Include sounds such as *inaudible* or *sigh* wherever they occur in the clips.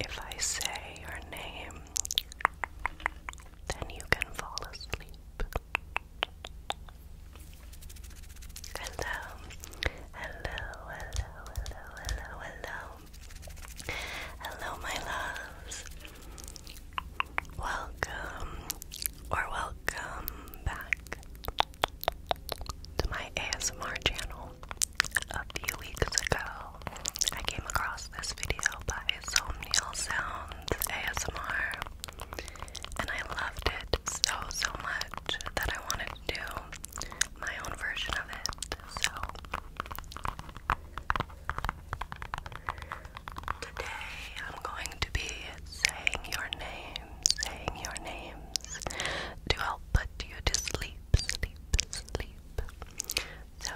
If I say your name, then you can fall asleep. Hello, hello, hello, hello, hello, hello. Hello, my loves. Welcome or welcome back to my ASMR channel. A few weeks ago, I came across this video by Somnial Sounds ASMR, and I loved it so, so much that I wanted to do my own version of it. So, Today I'm going to be saying your name, saying your names to help put you to sleep, sleep, sleep. So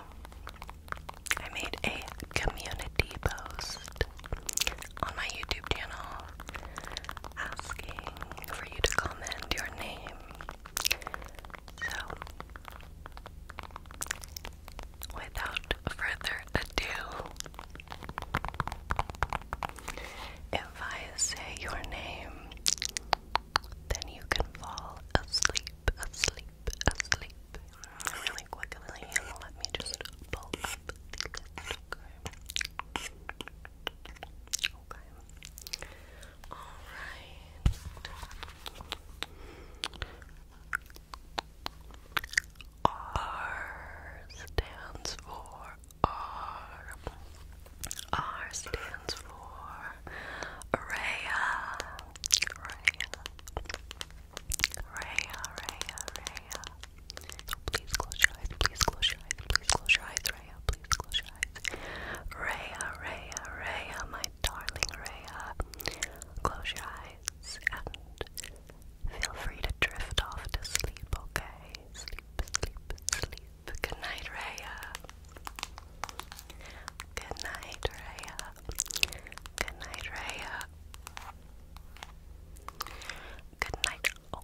I made a community post on my YouTube channel asking for you to comment your name. So without further ado, if I say your name, then you can fall asleep, asleep, asleep. Really quickly, let me just pull up Okay. Alright. R stands for R. R stands for Raya. Raya. Raya, Raya, Raya. So please close your eyes, please close your eyes, please close your eyes, Raya, please close your eyes. Raya, Raya, Raya, my darling Raya. Close your eyes and Feel free to drift off to sleep, okay? Sleep, sleep, sleep. Good night, Raya. Good night, Raya. Good night, Raya. Good night. Oh.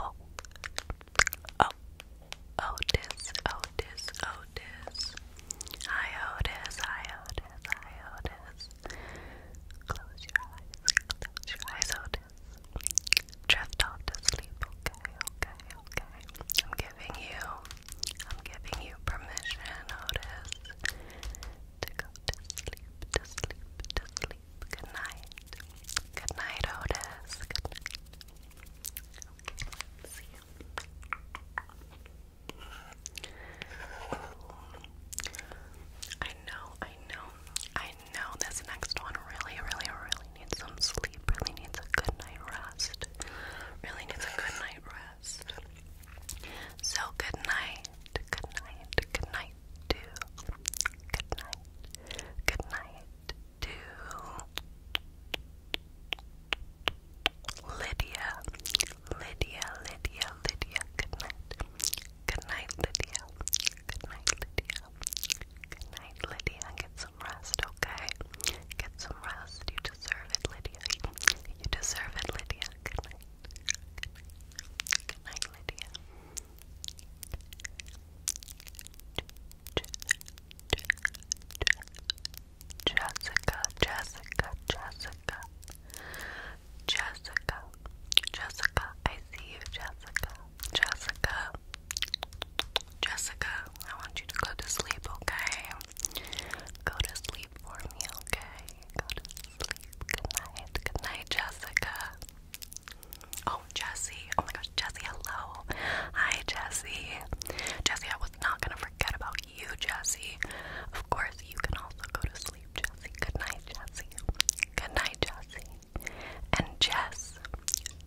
Oh. Oh. Otis, Otis, Otis. Hi, Otis, hi, Otis. Close your eyes. Close your eyes, Otis. Drift off to sleep. Okay, okay, okay. I'm giving you, I'm giving you permission, Otis, to go to sleep, to sleep, to sleep. Good night. Good night, Otis. see you. I know, I know, I know this next one really, really, really needs some sleep, really needs a good night rest. Really needs a good night rest. So good night, good night, good night to good night, good night to Lydia, Lydia, Lydia, Lydia, good night, Good night, Lydia. Good night, Lydia. Good night, Lydia. Get some rest, okay? Get some rest. You deserve it, Lydia. You deserve it, Lydia. Good night. Good night, Lydia. Jessica, Jessica, Jessica. Jessica, Jessica, I see you, Jessica, Jessica, Jessica. I want you to go to sleep, okay? Go to sleep for me, okay? Go to sleep. Good night, good night, Jessica. Oh, Jessie. Oh my gosh, Jessie, hello. Hi, Jessie. Jessie, I was not gonna forget about you, Jessie. Of course, you can also go to sleep sleep, Jesse. Good night, Jesse. Good night, Jesse. And Jess.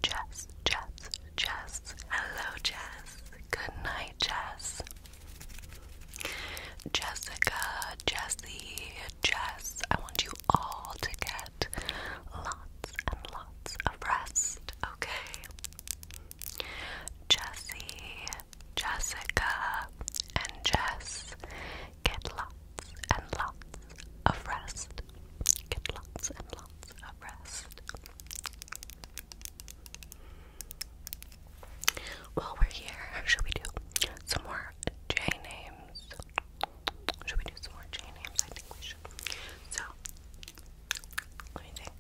Jess, Jess, Jess. Hello, Jess. Good night, Jess. Jessica, Jesse, Jess. I want you all to get lots and lots of rest, okay? Jesse, Jessica, and Jess. Get lots and lots of rest. Get lots and lots of rest. While we're here, should we do some more J names? Should we do some more J names? I think we should. So, let me think.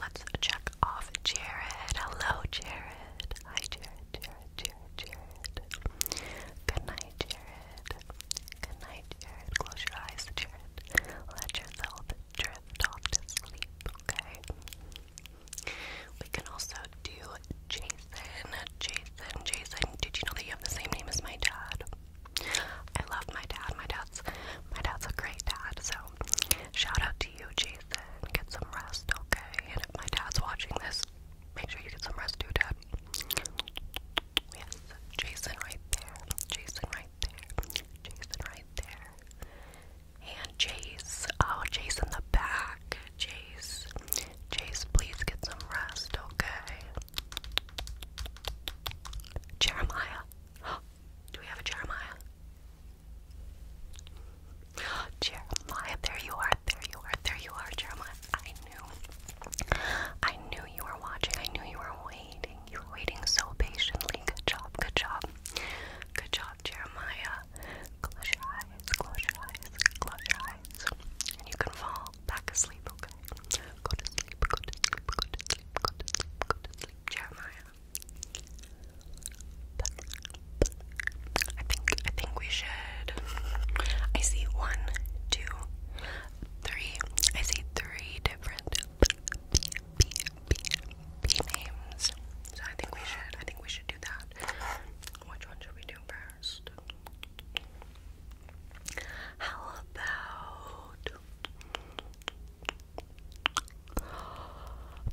Let's check off Jared. Hello, Jared. Hi, Jared. Jared, Jared, Jared. Good night, Jared. Good night, Jared. Close your eyes, Jared. Let yourself drift off to sleep, okay? We can also do Jason. Jason, Jason. Did you know that you have the same name as my dad? I love my dad. My dad's my dad's a great dad. So shout out to you, Jason. Get some rest, okay? And if my dad's watching this, Make sure you get some rest too, Dad. Yes, Jason right there. Jason right there. Jason right there. And Jace. Oh, Jace in the back. Jace. Jace, please get some rest, okay? Jeremiah. *gasps* Do we have a Jeremiah? Jeremiah, there you are, there you are, there you are, Jeremiah. I knew, I knew you were watching. I knew you were waiting. You were waiting so patiently. Good job, good job, good job, Jeremiah. Close your eyes, close your eyes, close your eyes, and you can fall back asleep. Okay, go to sleep, go to sleep, go to sleep, go to sleep, go to sleep, Jeremiah. I think I think we should. I see one, two, three. I see three different names. So I think we should. I think we should do that. Which one should we do first? How about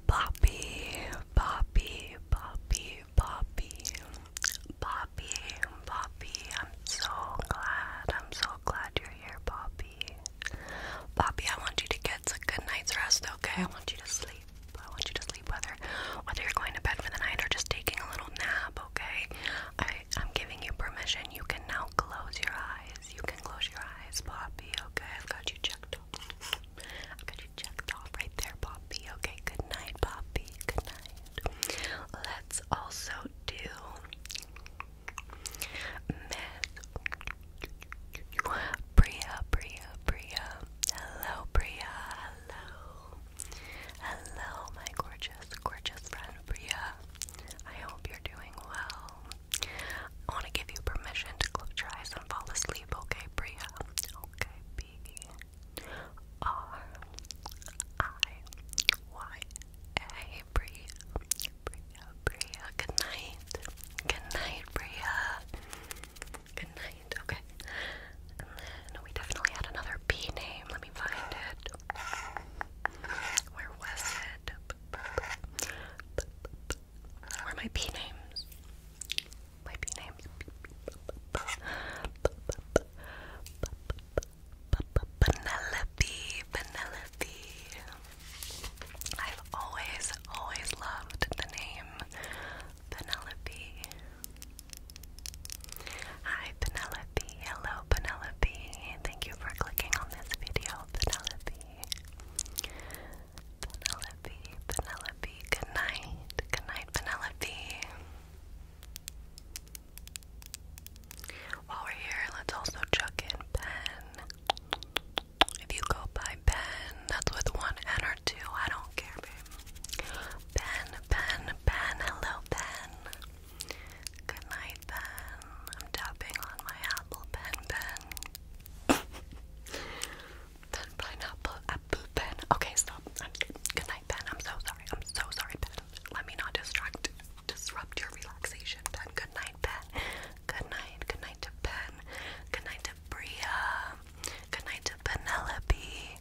Poppy, Poppy, Poppy, Poppy, Poppy, Poppy. I'm so glad. I'm so glad you're here, Poppy. Poppy, I want you to get a good night's rest, okay? I want you to sleep. I want you to sleep whether whether you're going to bed for the night or just taking a little nap, okay? I am giving you permission. You can now close your eyes. You can close your eyes, Poppy, okay? I've got you checked I got you checked off right there, Poppy. Okay, good night, Poppy. Good night. Let's also do myth. Bria, Bria, Bria. Hello, Bria. Hello. Hello, my gorgeous, gorgeous friend, Bria. I hope you're doing well. I want to give you permission to close your eyes and fall asleep, okay, Bria? Okay, B R I Y A Bria. Bria, Good night. Good night, Bria. Good night. Okay. And we definitely had another B name. Let me find it. Where was it? Where are my B names? my bee names. Penelope, Penelope. I've always, always loved the name Penelope. Hi, Penelope. Hello, Penelope. Thank you for clicking on this video, Penelope. Penelope, Penelope, good night, good night, Penelope. While we're here, let's also chuck in Ben. If you go by Ben, that's with one N or two, I don't care, Ben, Ben, Ben, hello, Ben. Good night, Ben. I'm tapping on my apple, Ben, Ben. *laughs* Pen, pineapple, apple, pen. Okay, stop. Good night, pen. I'm so sorry. I'm so sorry, pen. Let me not distract, disrupt your relaxation, pen. Good night, pen. Good night. Good night to pen. Good night to Bria. Good night to Penelope.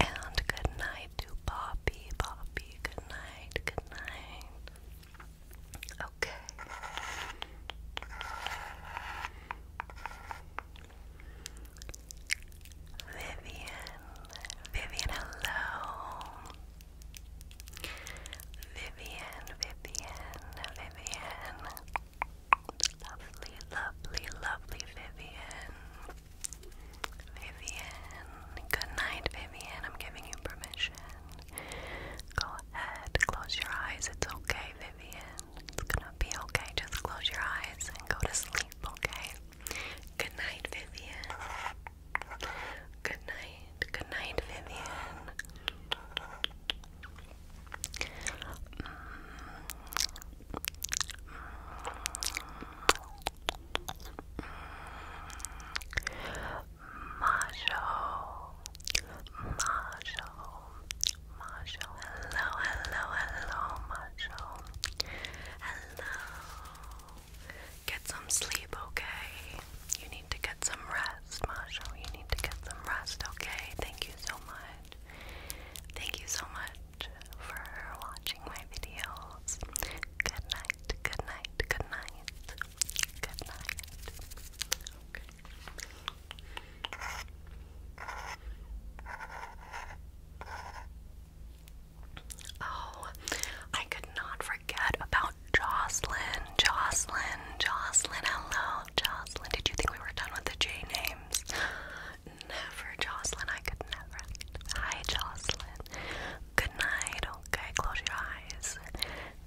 And good night to Poppy. Poppy. Good night. Good night. Okay. Vivian, Vivian, hello. Vivian, Vivian, Vivian. Lovely, lovely, lovely Vivian. Vivian, good night, Vivian. I'm giving you permission. Go ahead, close your eyes. It's okay, Vivian. It's gonna be okay. Just close your eyes and go to sleep, okay? Good night, Vivian. Good night. Good night, Vivian. Mm -hmm. Marshall, hello, hello, hello, Marshall. Hello. Get some sleep, okay? You need to get some rest, Marshall. You need to get some rest, okay? Thank you so much. Thank you so much for watching my videos. Good night, good night, good night. Good night. Oh, I could not forget about Jocelyn. Jocelyn, Jocelyn, hello. Jocelyn, did you think we were done with the J names? Never, Jocelyn. I could never. Hi, Jocelyn. Good night. Okay, close your eyes.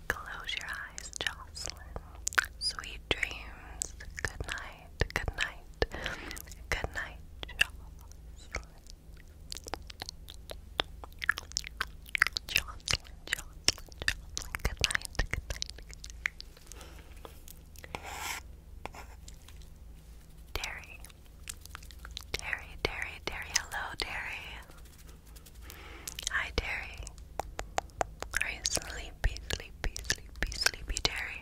Close your eyes, Jocelyn. Sweet dreams. Good night good night, good night, Jocelyn. Jocelyn, Jocelyn, Jocelyn, good night, good night. Terry, Terry, Terry, Terry, hello, Terry. Hi, Terry. Are you sleepy, sleepy, sleepy, sleepy, Terry?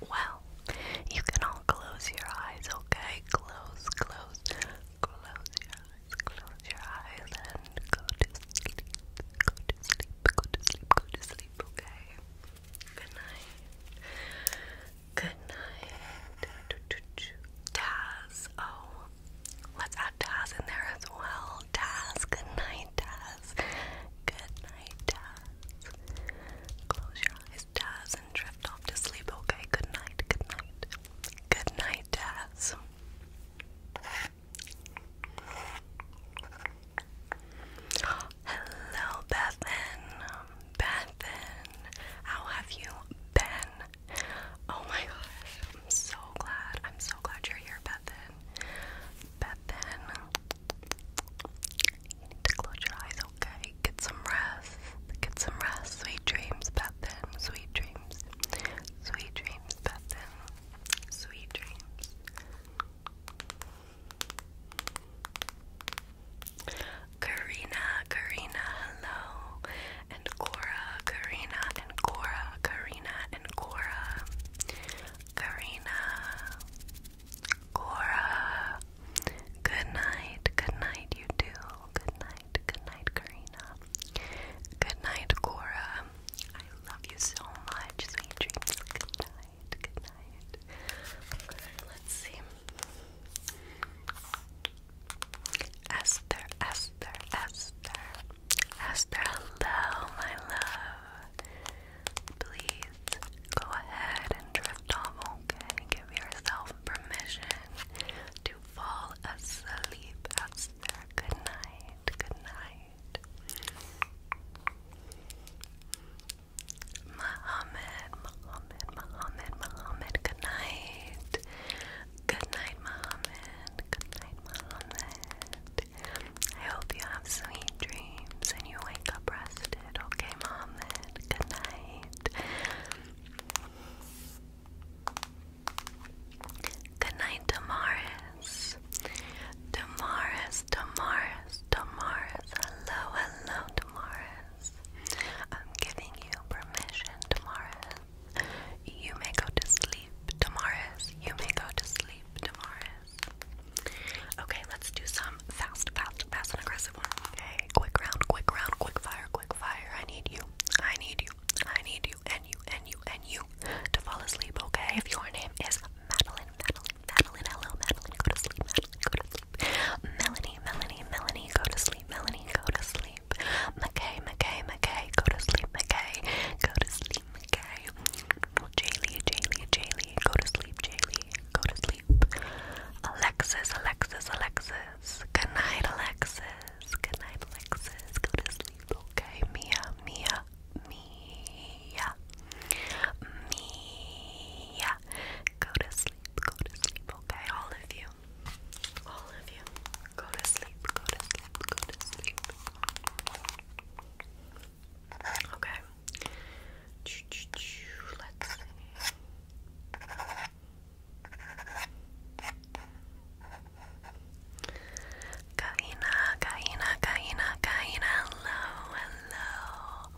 Well, you can all close your eyes, okay? Close, close, close your eyes, close your eyes, and go to sleep. Go to sleep, go to sleep, go to sleep, okay? Good night. Good night. Taz. Oh, let's add Taz in there as well. Taz, good night, Taz. Good night, Taz. Close your eyes, Taz, and drift off to sleep. Okay, good night, good night. Good night, Taz. Hello, Bethan. Bethan, how have you been? Oh my gosh, I'm so glad. I'm so glad you're here, Bethan. Bethan, you need to close your eyes, okay? Get some rest. Get some rest. Sweet dreams, Bethan. Sweet dreams. Sweet dreams, Bethan. Sweet dreams. Karina, Karina, hello. And Cora, Karina, and Cora, Karina, and Cora. Karina, Cora. Good night. Good night, you two. Good night. Good night, Karina. Good night, Cora. I love you so much. Sweet Good night. Good night. let's see. Esther, Esther, Esther. Esther, hello, my love please go ahead and drift off, okay? Give yourself permission to fall asleep Good night, good night. Muhammad, Muhammad, Muhammad, Muhammad, good night. Good night, Muhammad. Good night, Muhammad. I hope you have sweet dreams and you wake up rested rested. Okay, Mohammed. Good night. Good night, Damaris. Damaris, Damaris, Damaris. Hello, hello, Damaris. I'm giving you permission, Damaris. You may go to sleep, Damaris. You may go to sleep, Damaris. Okay, let's do some fast, fast, fast and aggressive one. Okay, quick round, quick round, quick fire, quick fire. I need you, I need you, I need you, and you, and you, and you to fall asleep. Okay, if your name is Madeline, Madeline, Madeline, hello, Madeline, go to sleep, Madeline, go to sleep. Melanie, Melanie, Melanie, go to sleep, Melanie, go to sleep. McKay, McKay, McKay, go to sleep, McKay, go to sleep, McKay. Jaylee, Jaylee, Jaylee, go to sleep, Jaylee, go to sleep. Alexis, Alexis, Alexis. Good night, Alexis. Good night, Alexis. Go to sleep, okay? Mia, Mia, Mia, Mia. Go to sleep, go to sleep, okay? All of you, all of you. Go to sleep, go to sleep, go to sleep. Okay. Let's see. Kaina, Kaina, Kaina, Kaina, hello, hello.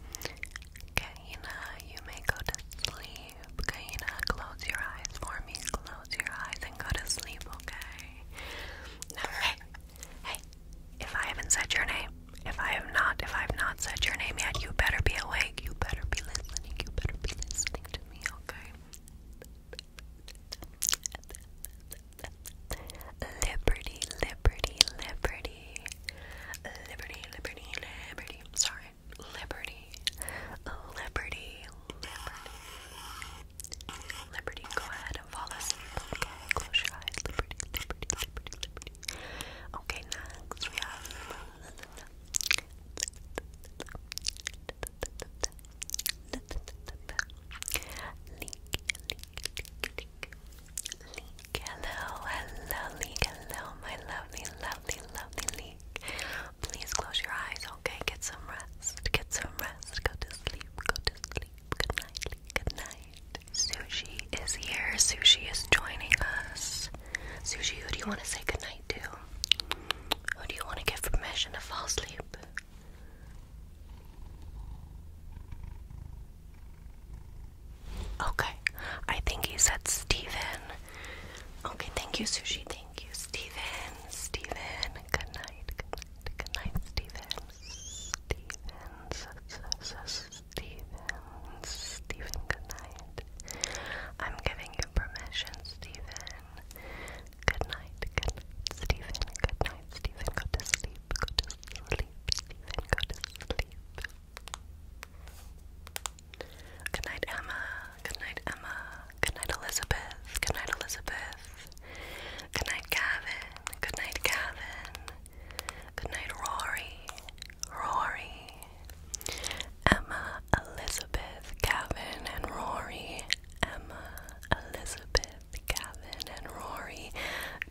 Kaina, you may go to sleep. Kaina, close your eyes for me. Close your eyes and go to sleep, okay? hey, if I haven't said your name, if I have not, if I have not said your name yet, you better be awake. You better be listening. You better be listening to me, okay? Liberty, liberty, liberty. Liberty, liberty, liberty. Sorry. Liberty. Liberty. Liberty. Liberty. Go ahead fall asleep. Okay. Close your eyes. Liberty, liberty, liberty, liberty. Okay, next we have Link, Link, Hello, hello, hello, my lovely, lovely, lovely Link. Please close your eyes, okay? Get some rest. Get some rest. Go to sleep. Go to sleep. Good night, Good night. Sushi is here. Sushi is joining us. Sushi, who do you want to say goodnight to? Who do you want to give permission to fall asleep? Okay, I think he said Stephen. Okay, thank you, Sushi. Thank you, Stephen. Stephen, good night. Good night, Stephen. night, Steven. Steven, good night. I'm giving you permission, Steven. Good night, good night, Good night, Steven. Go to sleep. Go to sleep, Steven. Go to sleep. Good night, Emma. Good night, Emma. Good night, Elizabeth. Good night, Elizabeth. Good night, Gavin. Good night, Gavin. Good night, Rory. Rory. Emma, Elizabeth, Gavin, and Rory. Emma, Elizabeth, Gavin, and Rory.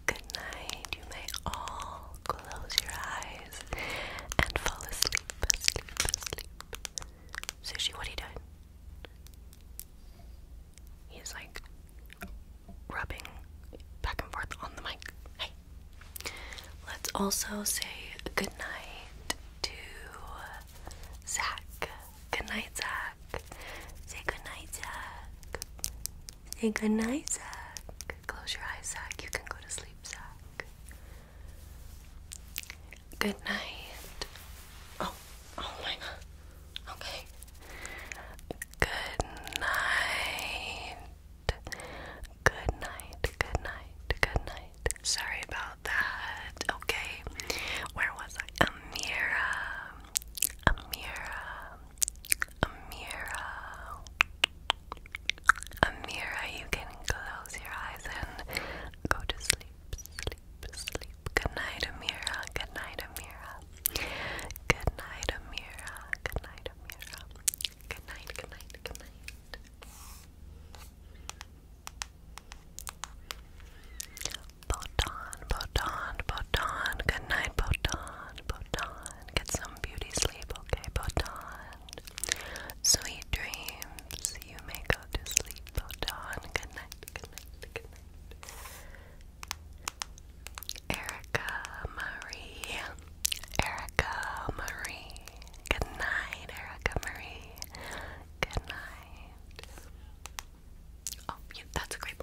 Good night. You may all close your eyes and fall asleep, asleep, asleep. Sushi, what are you doing? He's like rubbing back and forth on the mic. Hey, Let's also say good night to Zach. Good night, Zach. Say good night, Zach. Say good night, Zach. Close your eyes, Zach. You can go to sleep, Zach. Good night. Oh, oh my god. Okay. Good night. Good night, good night, good night. Sorry about that. Okay, where was I? Amira, Amira, Amira, Amira. You can close your eyes and go to sleep, sleep, sleep. Good night, Amira. Good night, Amira. Good night, Amira. Good night, Amira. Good night, good night, good night. Botan, Botan, Botan. Good night, Botan, Botan. Get some beauty sleep, okay, Botan. Sweet dreams. You may go to sleep, Botan. Good night, good night. Erica Marie. Erica Marie. Good night, Erica Marie. Good night. Oh, that's a great.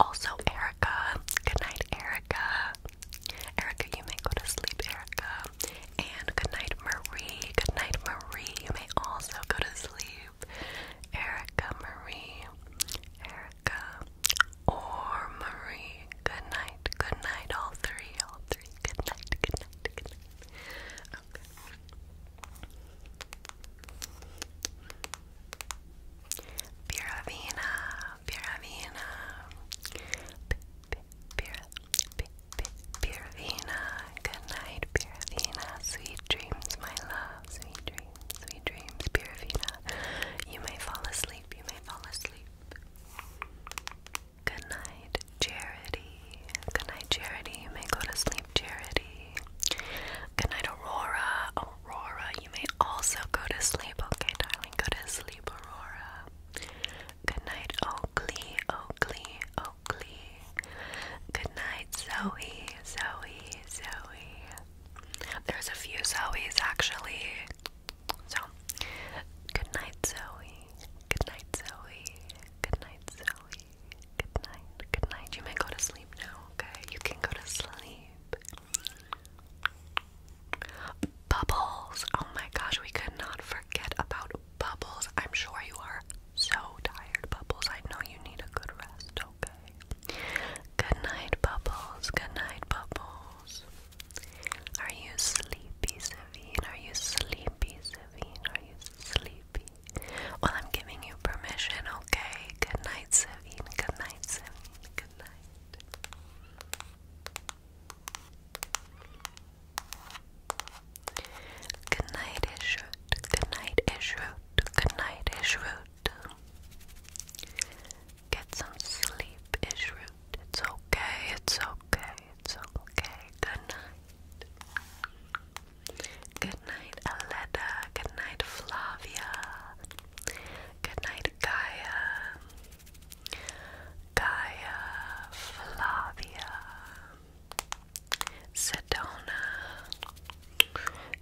Also, Erica. Good night, Erica. Erica, you may go to sleep, Erica. And good night, Marie. Good night, Marie. You may also go to sleep. Erica Marie. Erica or Marie. Good night, good night, all three, all three. Good night, good night, good night. Piravina, Piravina. Piravina, good night, Piravina. Sweet dreams, my love. Sweet dreams, sweet dreams, Piravina. You may fall asleep, you may fall asleep. Good night, Charity. Good night, Charity. You may go to sleep, Charity. Good night, Aurora. Aurora, you may also go to sleep. Okay, darling, go to sleep, Aurora. Good night, Oakley. Oakley. Oakley. Good night, Zoe. Zoe. Zoe. There's a few Zoes actually. So, good night, Zoe. Good night, Zoe. Good night, Zoe. Good night. Good night. You may go to sleep now, okay? You can go to sleep. Bubbles. Oh my gosh, we could not forget about Bubbles. I'm sure you are so tired, Bubbles. I know you need a good rest, okay? Good night, Bubbles. Good night, Bubbles. Are you sleepy, Savine? Are you sleepy, Savine? Are you sleepy? Well, I'm giving you permission, okay? Good night, Savine. Good night, Savine. Good night. Good night, Ishrut. Good night, Ishrut. Good night, Ishrut. Get some sleep, Ishroot. It's okay, it's okay, it's okay. Good night. Good night, Aletta. Good night, Flavia. Good night, Gaia. Gaia, Flavia. Sedona.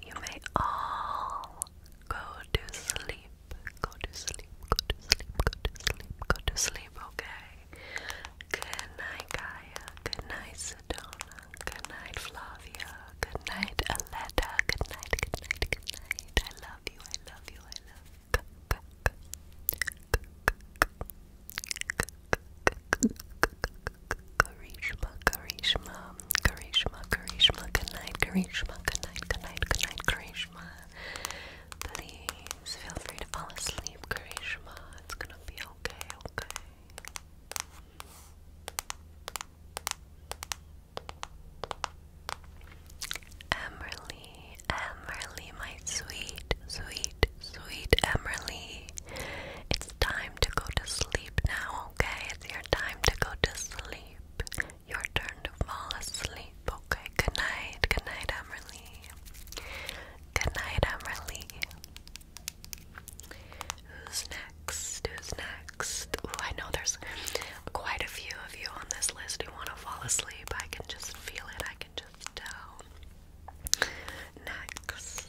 You may all go to sleep, go to sleep, go to sleep, go to sleep, go to sleep, okay? Good night, Gaia, good night, Sedona, good night, Flavia, good night, Aletta, good night, good night, good night. I love you, I love you, I love you. Karishma, Karishma, Karishma, Karishma, good night, Karishma, good night, good night, good night, Karishma, Please feel free to fall asleep, Karishma. It's gonna be okay, okay. Emerly, Emerly, my sweet, sweet, sweet Emerly. It's time to go to sleep now, okay? It's your time to go to sleep your turn to fall asleep, okay? Good night, good night, Emily. Good night, Emily. Who's next? Who's next? Oh, I know there's quite a few of you on this list who want to fall asleep. I can just feel it, I can just Next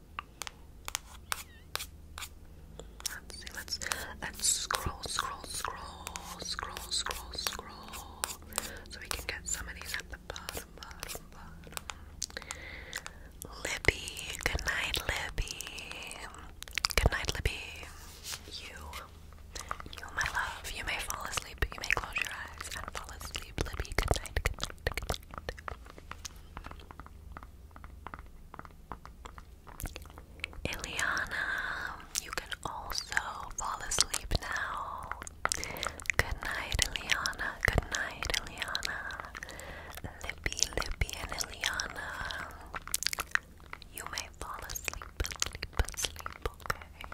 Let's see, let's let's scroll, scroll, scroll, scroll, scroll, scroll. So we can get some of these at the bottom, Libby, good night, Libby. Good night, Libby. You, you, my love. You may fall asleep, you may close your eyes and fall asleep, Libby. Good night, good night, good night. Ileana, you can also fall asleep now. Good night, Ileana. Good night, Ileana. Lippy, Lippy, and Ileana. You may fall asleep, asleep, asleep, okay?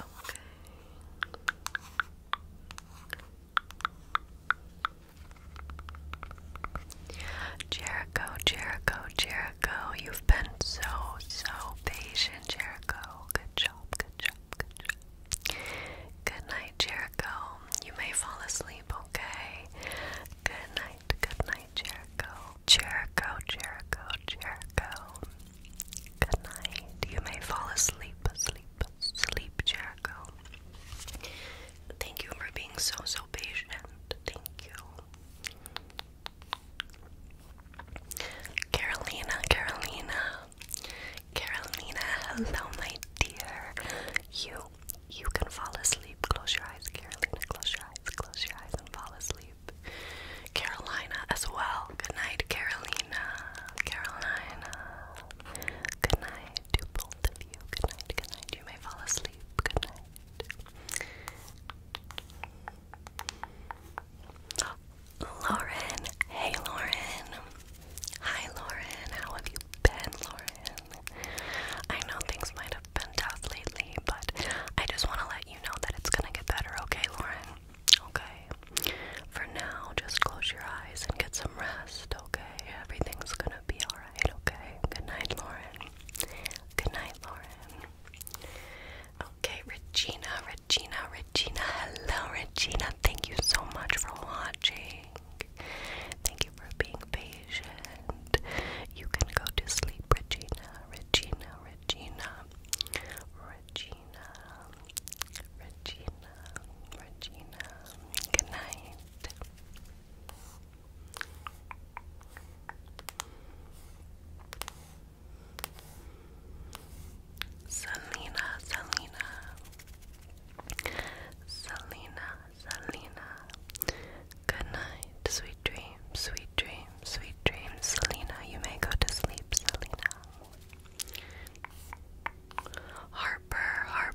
Okay. Jericho, Jericho, Jericho, you've been so, so patient, Jericho. Good job, good job, good job. Good night, Jericho. You may fall asleep, okay? Good night, good night, Jericho. Jericho, Jericho, Jericho. Good night. You may fall asleep, asleep, Sleep Jacko. Thank you for being so, so patient. Thank you. Carolina, Carolina. Carolina, hello, my dear. You you can fall asleep. Close your eyes, Carolina. Close your eyes. Close your eyes and fall asleep. Carolina as well. Good night, Carolina. Carolina. Good night to both of you. Good night, good night. You may fall asleep. Good night. Lauren. Hey, Lauren. Hi, Lauren. How have you been, Lauren? I know things might have been tough lately, but I just want to let you know that it's going to get better, okay, Lauren? Okay. For now, just close your eyes and get some rest, okay? Everything's gonna be alright. Alright, okay. Good night, Lauren. Good night, Lauren. Okay, Regina, Regina, Regina. Hello, Regina. Thank you so much for watching. Thank you for being patient. You can go to sleep, Regina, Regina, Regina, Regina, Regina. Good night. Selena, Selena, Selena, Selena. Good night, sweet dreams, sweet dreams, sweet dreams. Selena, you may go to sleep, Selena. Harper, Harper.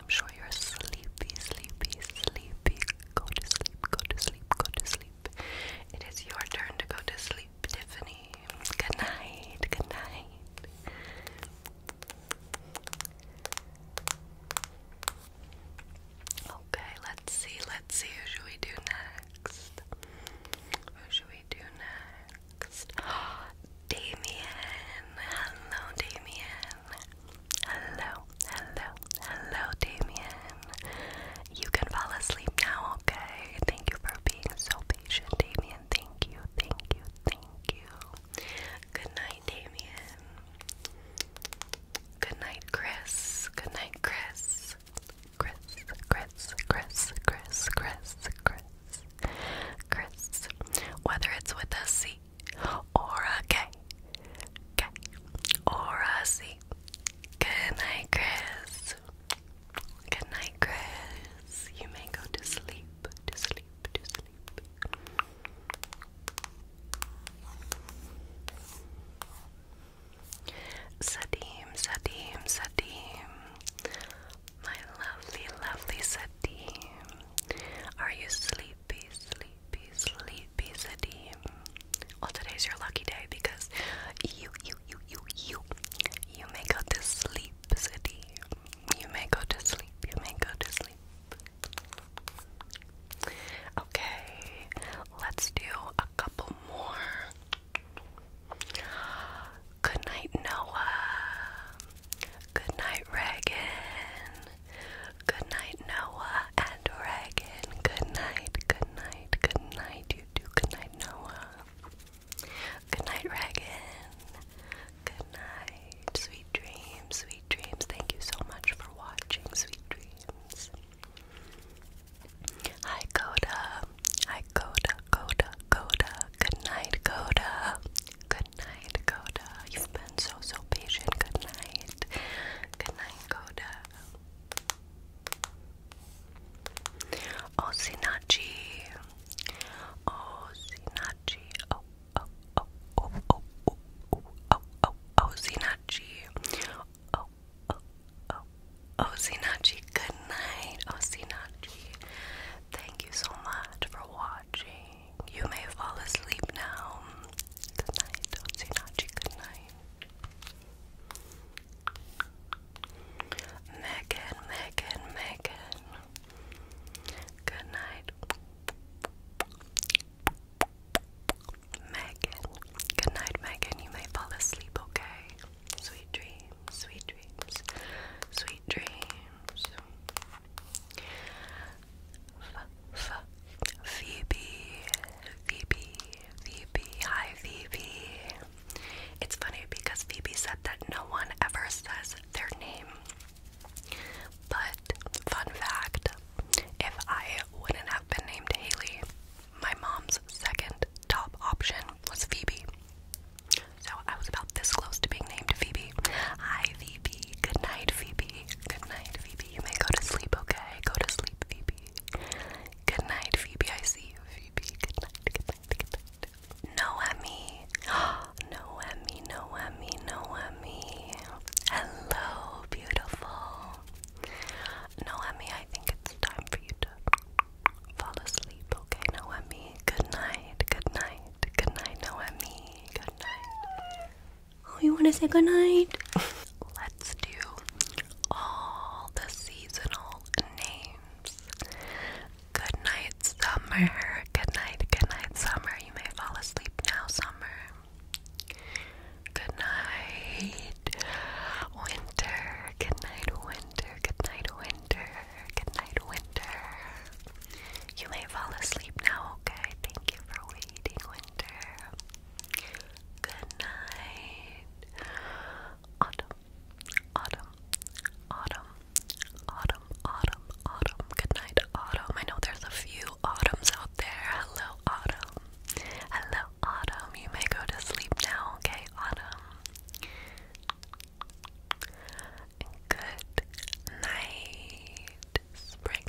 I'm sure you're sleepy, sleepy, sleepy. Go to sleep, go to sleep, go to sleep. It is your turn to go to sleep, Tiffany. Good night, good night. Okay, let's see, let's see who should we do next? Who should we do next? *gasps* Damien! Hello Damien! Hello, hello, hello, Damien. You can fall asleep now, okay? Thank you for being so patient, Damien. Thank you, thank you, thank you. Good night, Damien. Good night, Chris. Good night, Chris. Chris, Chris, Chris, Chris, Chris, Chris. Chris. Whether it's with a C or a K. K or a C. Good night, Chris. Good night, Chris. You may go to sleep, to sleep, to sleep. Sadim, Sadim, Sadim. My lovely, lovely Sadim. Are you sleeping? sleepy, sleepy, sleepy city. Well, today's your lucky day because you, you, you, you, you, you may go to sleep city. You may go to sleep. You may go to sleep. Okay, let's do a couple more. Good night, Noah. Good night, Reagan. Good night, Noah and Reagan. Good night, good night, good night, you two. Good night, Noah. Good night, Reagan. Good night. Sweet dreams, sweet dreams. Thank you so much for watching, sweet dreams. Hi, Coda. Hi, Coda, Coda, Coda. Good night, Coda. Good Good night, Coda. You've been so, so patient. Good night. Good night, Coda. Oh, Sinachi. Oh, Sinachi. Oh, oh, oh, oh, oh, oh, oh, oh, oh, oh, Sinachi. Oh, oh, oh, oh, Sinachi. Good night, oh, Sinachi. Thank you so much for watching. You may fall asleep now. Good night, Otsinachi. Good night. Megan, Megan, Megan. Good night. Megan. Good night, Megan. You may fall asleep, okay? Sweet dreams, sweet dreams, sweet dreams. Phoebe, Phoebe, Phoebe, hi Phoebe. It's funny because Phoebe said that no one ever says their name. But, fun fact if I wouldn't have been named Haley, my mom's second top option was Phoebe. So I was about this close to being named Phoebe. Phoebe. Hi, Phoebe. Good night, Phoebe. Good night, Phoebe. You may go to sleep, okay? Go to sleep, Phoebe. Good night, Phoebe. I see you, Phoebe. Good night, good night, good night. Noemi. *gasps* Noemi, Noemi, Noemi. Hello, beautiful. Noemi, I think it's time for you to fall asleep, okay, Noemi? Good night, good night, good night, Noemi. Good night. Oh, you want to say goodnight? Let's do all the seasonal names. Good night, summer. Good night, good night, summer. You may fall asleep now, summer. Good night, winter. Good night, winter. Good night, winter. Good night, winter. You may fall asleep now, okay? Thank you for waiting, Winter. Good night. Autumn, autumn, autumn, autumn, autumn, autumn. Good night, autumn. I know there's a few autumns out there. Hello, autumn. Hello, autumn. You may go to sleep now, okay, autumn? Good night spring.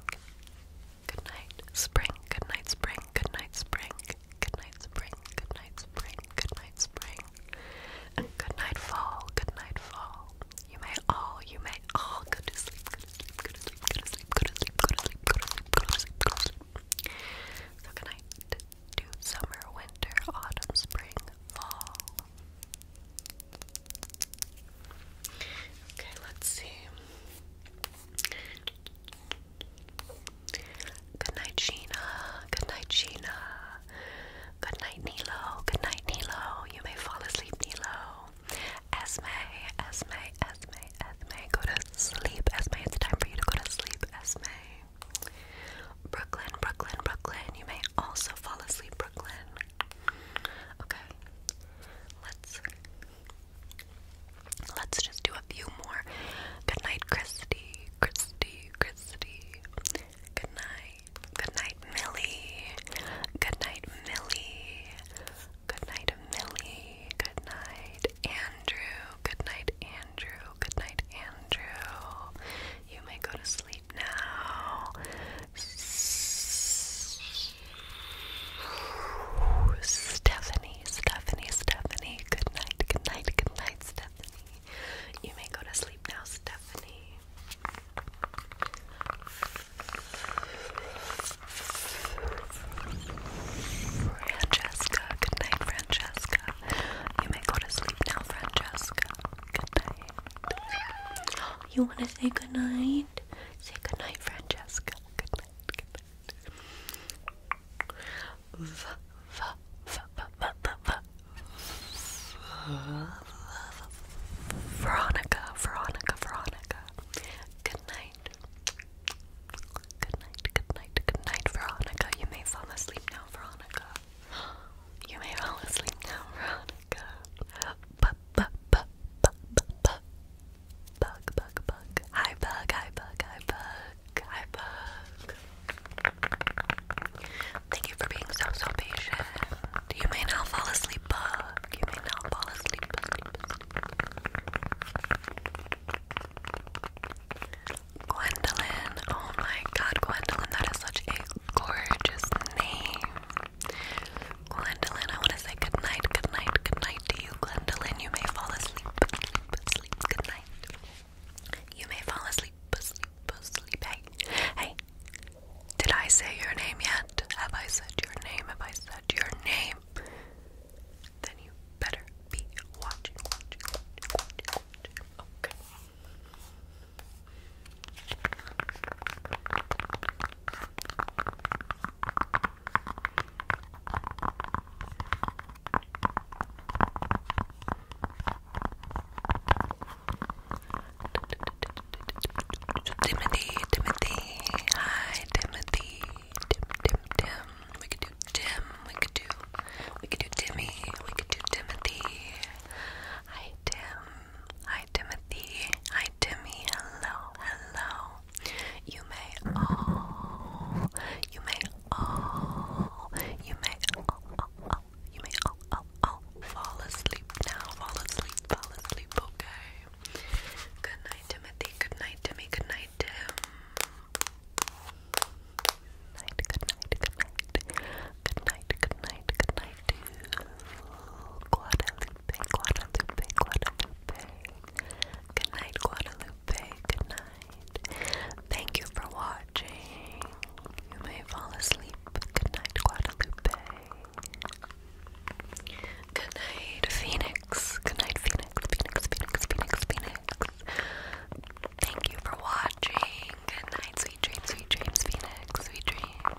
Good night, spring. Good night, spring. Good night, spring. Good night, spring. Good night, spring. Good night, spring. And good night, fall. Good night, fall. You may all, you may all go to sleep. Go to sleep. Go to sleep. Go to sleep. Go to sleep. Go to sleep. Go to sleep. Go to sleep. Go to sleep. So good night to summer, winter, autumn, spring, fall. Okay, let's see. Good night, Gina. Good night, Gina. Good night, Nilo. Good night, Nilo. You may fall asleep, Nilo. Esme, Esme, Esme, Esme. Go to sleep, Esme. It's time for you to go to sleep, Esme. Brooklyn, Brooklyn, Brooklyn. You may also fall asleep, Okay. Let's let's just do a few more. Good night, Christy. Christy. Christy. Good night. Good night, Millie. Good night, Millie. Good night, Millie. Good night, Andrew. Good night, Andrew. Good night, Andrew. You may go to sleep now. Stephanie, Stephanie, Stephanie. Good night, good night, good night, Stephanie. You may go to sleep now, Stephanie. Francesca, good night, Francesca. You may go to sleep now, Francesca. Good night. *gasps* You want to say good night? Say good night, Francesca. Good night. Good night. V v v v v v Veronica, Veronica, Veronica. Good night. Good night, good night, good night, Veronica. You may fall asleep now, Veronica. You may fall asleep now, Veronica. But bug, bug, bug, bug, bug. Hi, bug, hi, bug, hi, bug, hi, bug. Thank you for being so, so patient. You may now fall asleep, bug. You may now fall asleep, Gwendolyn. Oh my god, Gwendolyn, that is such a gorgeous name. Gwendolyn, I want to say good night, good night, good night to you, Gwendolyn. You may fall asleep, sleep, sleep, good night. You may fall asleep, sleep, sleep. Hey, hey, did I say your name yet? Have I said your name? Have I said your name? Then you better be watching, Okay. Timothy, Timothy, hi Timothy, Tim, Tim, Tim. We could do Tim. We could do, we could do Timmy. We could do Timothy. Hi Tim. Hi Timothy. Hi Timmy. Hello. Hello. You may all. You may all. You may all. you may all, all, fall asleep now. Fall asleep. Fall asleep. Okay. Good night, Timothy. Good night, Timmy. Good night, Tim. Good night. Good night. Good night. Good night. Good night. to Guadalupe. Guadalupe, Guadalupe, Guadalupe. Good night, Guadalupe. Good night. Thank you for watching. You may fall asleep. Good night, Guadalupe. Good night, Phoenix. Good night, Phoenix. Phoenix, Phoenix, Phoenix, Phoenix. Thank you for watching. Good night, sweet dreams, sweet dreams, Phoenix, sweet dreams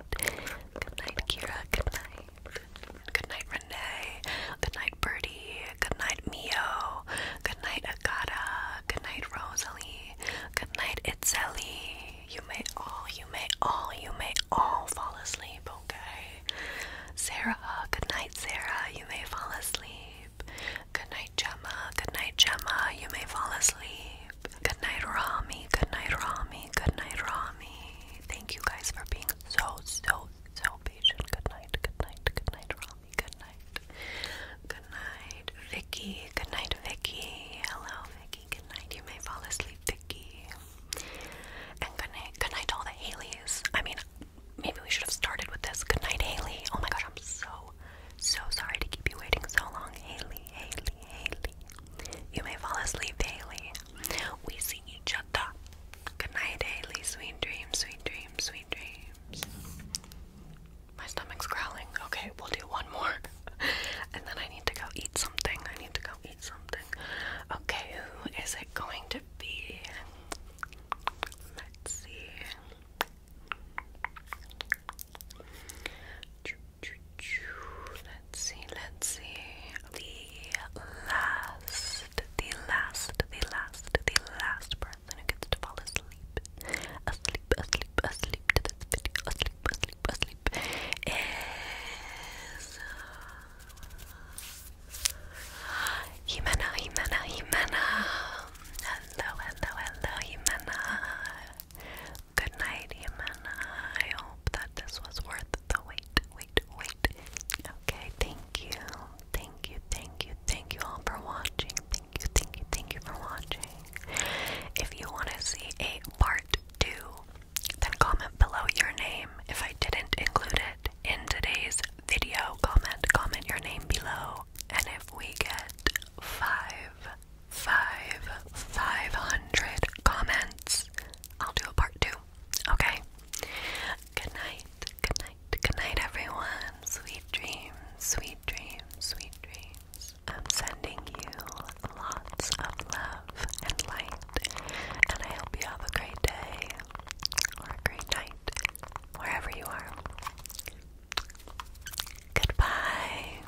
night. Good night, Kira. Good night. Good night, Renee. Good night, Birdie. Good night, Mio. Good night, Agata. Good night, Rosalie. Good night, Itzeli. You may all, you may all, you may all fall asleep, okay? Sarah, good night, Sarah. You may fall asleep. Good night, Gemma. Good night, Gemma. You may fall asleep. Good night, Rami. Good night, Rami. Good night, Rami. Thank you guys for being so, so, so patient. Good night, good night, good night, Rami. Good night. Good night, Vicky. Good night, Vicky. Hello, Vicky. Good night. You may fall asleep, Vicky. And good night, good night to all the Haleys. I mean, maybe we should have started with this. Good night, Haley. Oh my God, I'm so, so sorry to keep you waiting so long, Haley, Haley. You may fall asleep, Haley. We see each other. Good Haley. Sweet dreams, sweet dreams, sweet dreams. My stomach's growling. Okay, we'll do one more. *laughs* and then I need to go eat something. I need to go eat something. Okay, who is it going to be? Let's see. Let's see, let's see. The last, the last, the last, the last person who gets to fall asleep, asleep, asleep, asleep to this video, asleep, asleep, asleep, is Jimena, Jimena, Jimena. Hello, hello, hello, Jimena. Good night, human. I hope that this was worth the wait, wait, wait. Okay, thank you. Thank you, thank you, thank you all for watching. Thank you, thank you, thank you for watching. If you want to see a part two, then comment below your name if I didn't include it in today's video. Comment, comment your name below. And if we get five five, 500 comments, I'll do a part two. Okay? Good night, good night, good night, everyone. Sweet dreams, sweet dreams, sweet dreams. I'm sending you lots of love and light, and I hope you have a great day or a great night, wherever you are. Goodbye.